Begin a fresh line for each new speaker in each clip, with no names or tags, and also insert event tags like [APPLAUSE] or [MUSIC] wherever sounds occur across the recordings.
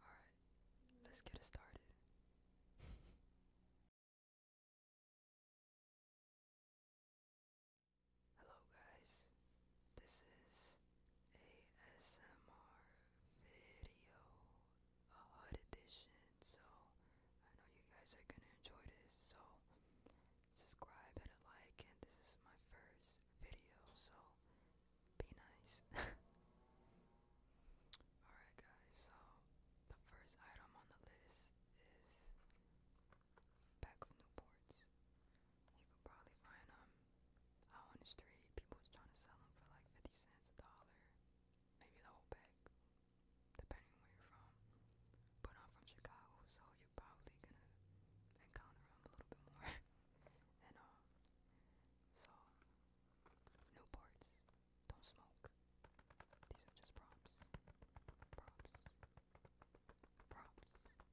Alright, let's get it started. Hello guys, this is a SMR video, a HUD edition, so I know you guys are gonna enjoy this, so subscribe, hit a like, and this is my first video, so be nice. [LAUGHS] Alright guys, so the first item on the list is pack of Newports. You could probably find them um, out on the street. People was trying to sell them for like 50 cents, a dollar, maybe the whole pack, depending where you're from. But I'm from Chicago, so you're probably gonna encounter them a little bit more. [LAUGHS] and um, so Newports, don't smoke. These are just props. Props. Props. Gross.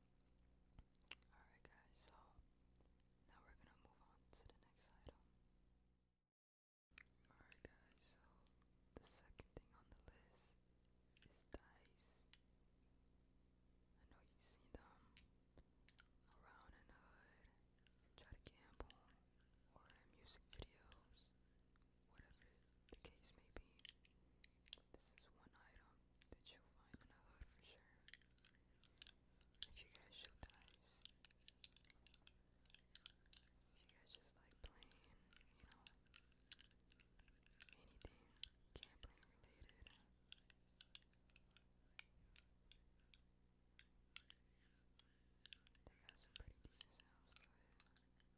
Alright, guys, so now we're gonna move on to the next item. Alright, guys, so the second thing on the list is dice. I know you see them around in the hood, try to gamble, or in music videos, whatever the case may be. This is one item that you'll find in a hood for sure. If you guys shoot dice, if you guys just like playing, you know, anything gambling related. They got some pretty decent sounds to it.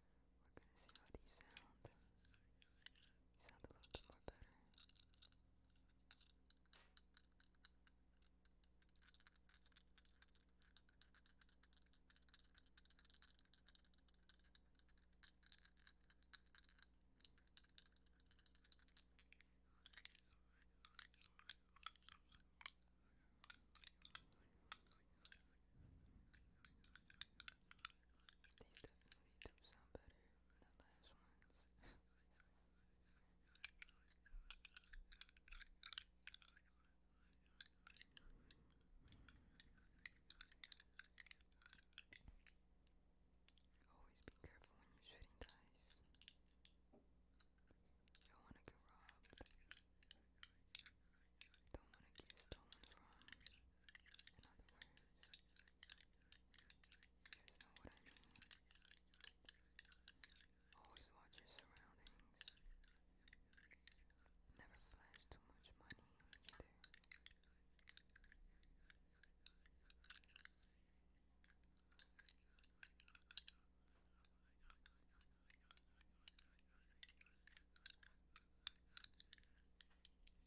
We're gonna see how these sound. sound a little bit more better. These definitely do sound better than the last ones. Always be careful when you're shooting dice. don't wanna get robbed. Don't wanna get stolen from. In other words, you guys know what I mean. Always watch your surroundings. Never flash too much money either.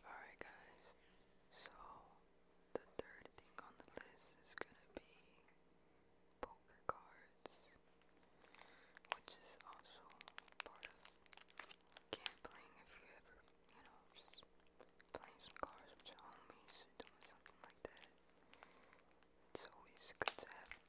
Alright guys, so the third thing on the list is gonna be poker cards, which is also part of gambling if you ever, you know, just playing some cards with your homies or something like that. It's always good to have a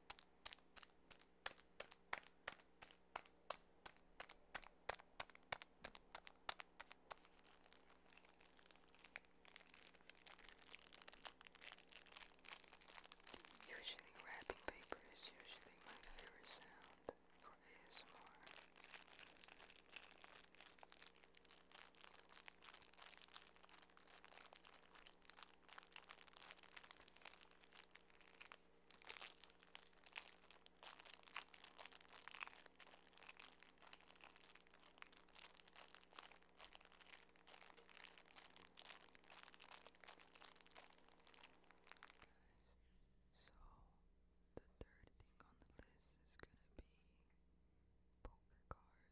Usually wrapping paper is usually my favorite sound for ASMR. So the third thing on the list is gonna be poker cards.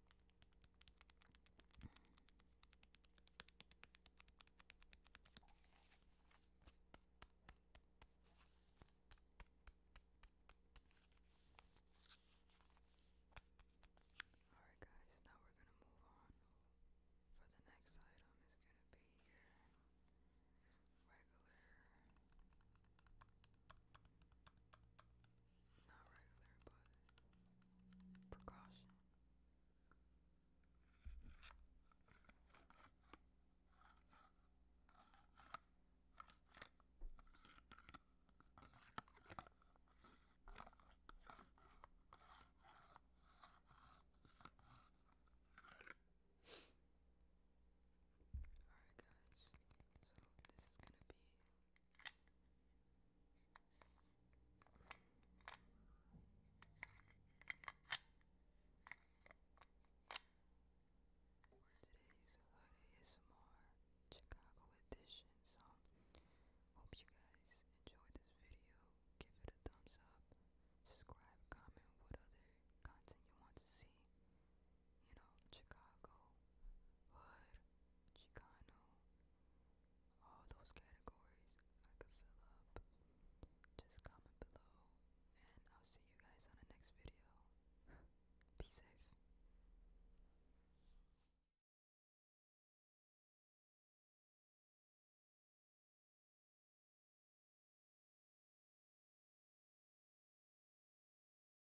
Alright, guys, now we're going to move on. For the next item is going to be regular not regular, but precaution. Alright, guys, so this is gonna be Today's Hot Chicago edition. So, hope you guys enjoyed this video. Give it a thumbs up. Subscribe, comment what other content you want to see you know, Chicago, Hood, Chicano, all those categories I could fill up. Just comment below, and I'll see you guys on the next video. [LAUGHS] Be safe.